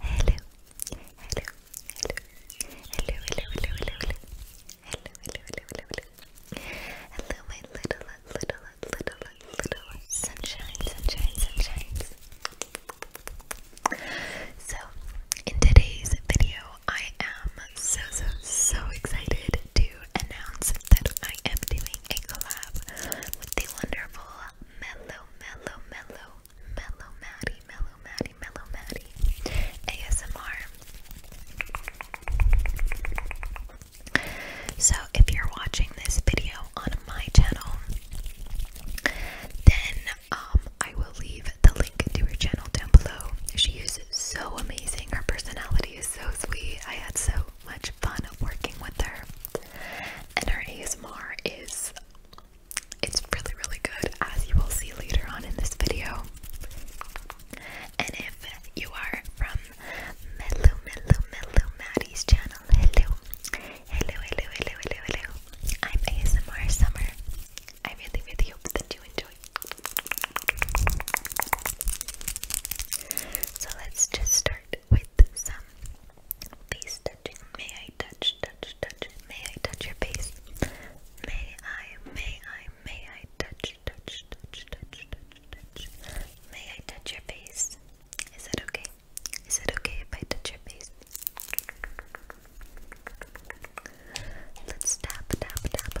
hello, hello, hello, hello, hello, hello, hello. Hello, hello, hello, hello, hello. Hello, my little, little, little, little sunshine, sunshine, sunshines. So, in today's video, I am so, so, so excited to announce that I am doing a collab with the wonderful Mellow, Mellow, Mellow, Mellow Maddie, Mellow Maddie, Mellow Maddie ASMR. So, if you're watching this video on my channel, then um, I will leave the link to her channel down below. She is so amazing. Her personality is so sweet. I had so much fun working with her. And her ASMR is it's really really good as you will see later on in this video. And if you are from Melu Melu Melu Maddie's channel, hello. Hello, hello, hello, hello, hello. I'm ASMR Summer. I really really hope that you enjoy. So let's just start with some face touching. May I touch, touch, touch? May I touch your face? May I, may I, may I touch, touch, touch, touch, touch, touch? May I touch your face? Is that okay? Is it okay if I touch your face? Let's tap, tap, tap a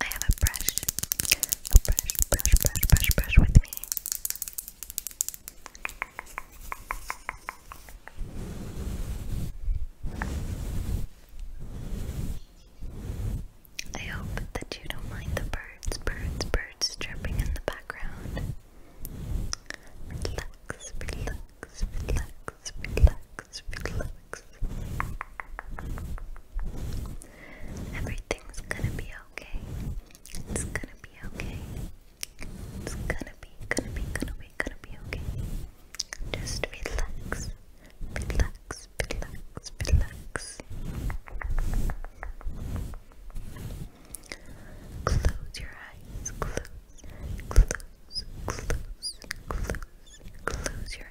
I have a brush. A brush, brush, brush, brush, brush with me. I hope that you don't mind the birds, birds, birds chirping in the background. Relax, relax, relax, relax, relax. Everything's gonna be okay. It's gonna be okay. It's gonna be, gonna be, gonna be, gonna be okay. Just relax, relax, relax, relax. Close your eyes, close, close, close, close, close your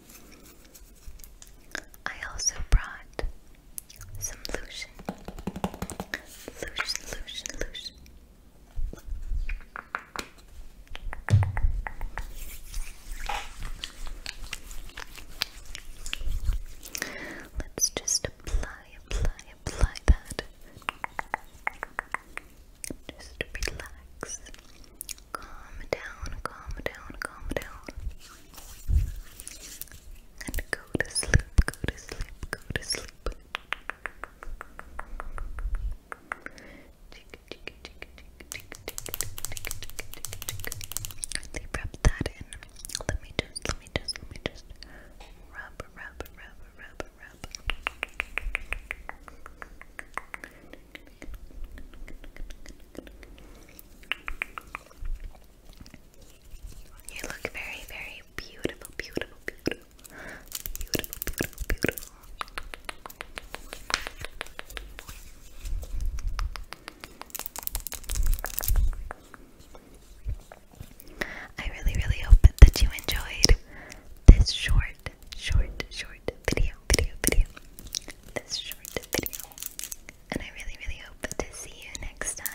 I also brought some lotion. Lotion, lotion, lotion. Let's just apply, apply, apply that. Just relax, Calm down, calm down, calm down. And go to sleep, go to sleep, go to sleep. They rub that in. Let me just, let me just, let me just rub, rub, rub, rub, rub. You look very, very beautiful, beautiful, beautiful, beautiful, beautiful, beautiful. I really, really hope that you enjoyed this short, short, short video, video, video this video. And I really, really hope to see you next time.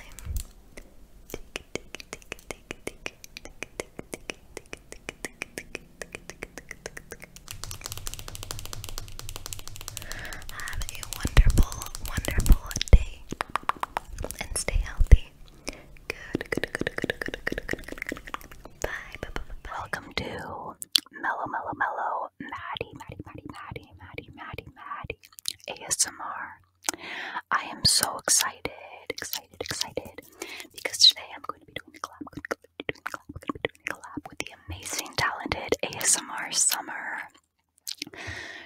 Have a wonderful, wonderful day and stay healthy. Good, good, good, good, good, good, good, bye. Welcome to Mellow, mellow, mellow, Maddie, Maddie, Maddie, Maddie, Maddie, Maddie, Maddie, ASMR. I am so excited, excited, excited, because today I'm going to be doing a collab, I'm going to be doing a collab, I'm going to be doing a collab with the amazing, talented ASMR Summer.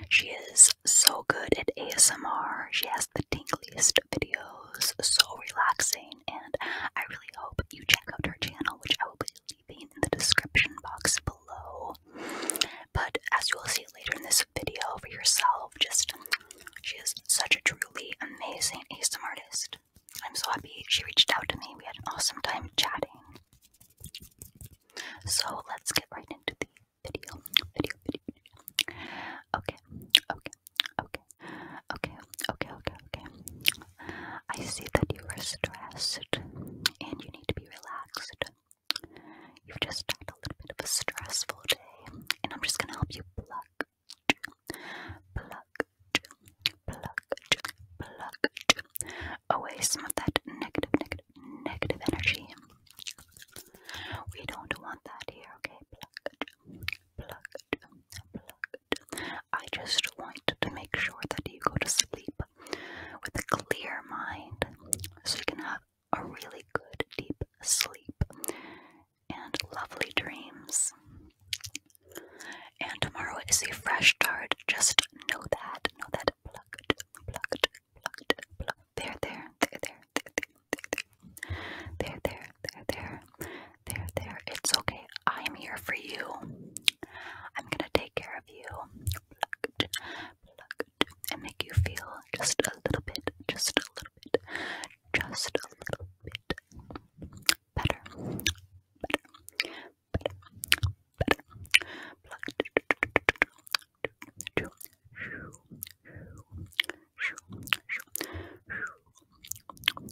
She is so good at ASMR. She has the tingliest videos, so relaxing, Jane, and I really hope you check out her channel, which I will be leaving in the description box below. But as you will see later in this video for yourself, just she is such a truly amazing ASM artist. I'm so happy she reached out to me. We had an awesome time chatting. So let's get right into the video. Video, video, video. Okay, okay, okay, okay, okay, okay, okay, I see that you are stressed and you need to be relaxed. You've just had a little bit of a stressful day, and I'm just gonna help you pluck, pluck, pluck, pluck away some of that negative, negative, negative energy. We don't want that here, okay? Pluck, I just want to make sure that you go to sleep with a clear mind so you can have a really good deep sleep and lovely dreams. And tomorrow is a fresh start. Just know that. Know that. there, there, there, there, there, there, there, there, there, there, It's okay. I'm here for you. I'm gonna take care of you. Plucked, plucked, and make you feel just a little bit, just a little bit, just a little bit better, better, there,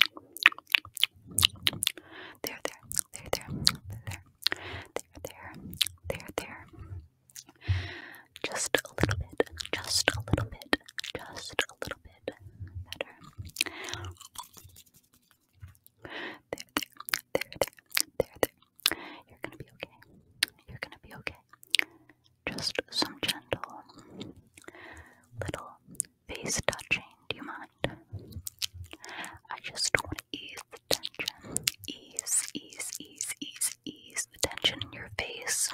there, there, there, there, there, there, there, there. Just a little bit, just a little bit, just a little bit better. There, there, there, there, there, there. You're gonna be okay. You're gonna be okay. Just some gentle little face touching. Do you mind? I just want to ease the tension. Ease, ease, ease, ease, ease the tension in your face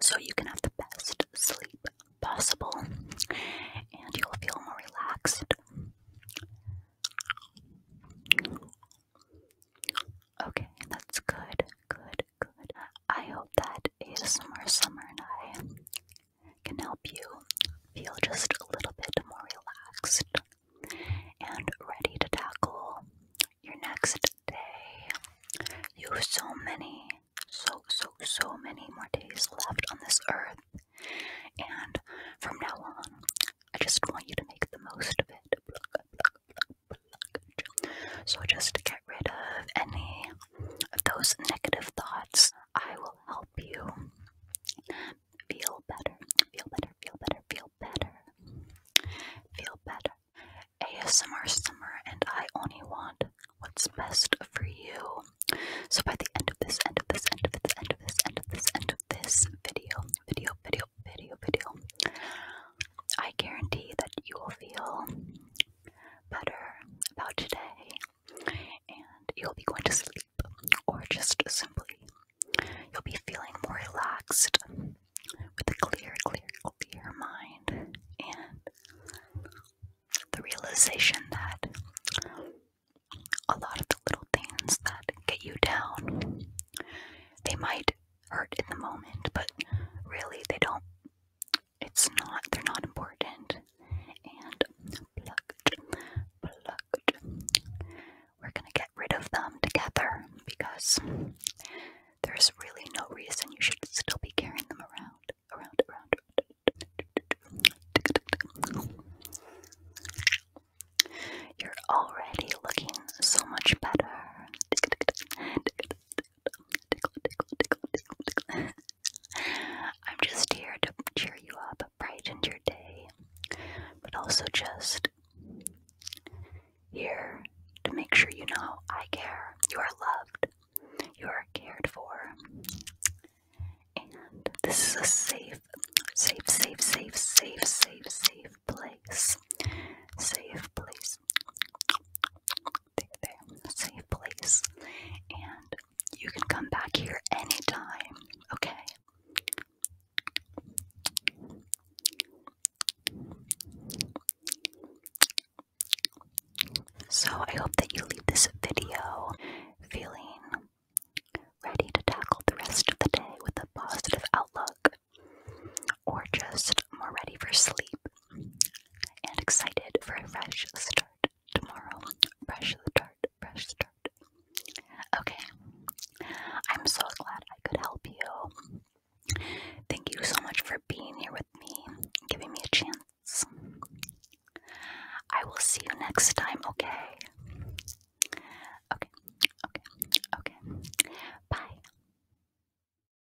so you can have the best sleep possible and you'll feel more relaxed. Okay, that's good, good, I hope that it is more Summer and I can help you feel just a little bit more relaxed and ready to tackle your next day. You have so many, so, so, so many more days left on this earth. And from now on, I just want you to make the most of it. So just get rid of any those negative thoughts. I will help you feel better, feel better, feel better, feel better, feel better. ASMR summer, and I only want what's best for you. So by the end of this, end of this, end of this, end of this, end of this, end of this video, video, video, video, video, I guarantee that you will feel better about today, and you'll be going to sleep, or just simply you'll be feeling more relaxed with a clear, clear, clear mind, and the realization that a lot of the little things that get you down, they might hurt in the moment, but really they don't it's not, they're not important. And plucked, plucked. We're gonna get rid of them together because there's really no reason you should still be carrying them around, around, around. You're already looking so much better. I'm just here to cheer you up, brighten your day, but also just here to make sure you know I care, you are loved, you are cared for, and this is a safe, safe, safe, safe, safe, safe, safe place, safe place they're, they in a safe place, and you can come back here anytime, okay? So, I hope that you leave this video feeling ready to tackle the rest of the day with a positive outlook or just more ready for sleep and excited for a fresh start tomorrow. Fresh start, fresh start. Okay, I'm so glad I could help you. Thank you so much for being here with me, giving me a chance. I will see you next time, okay? Okay, okay, okay. Bye.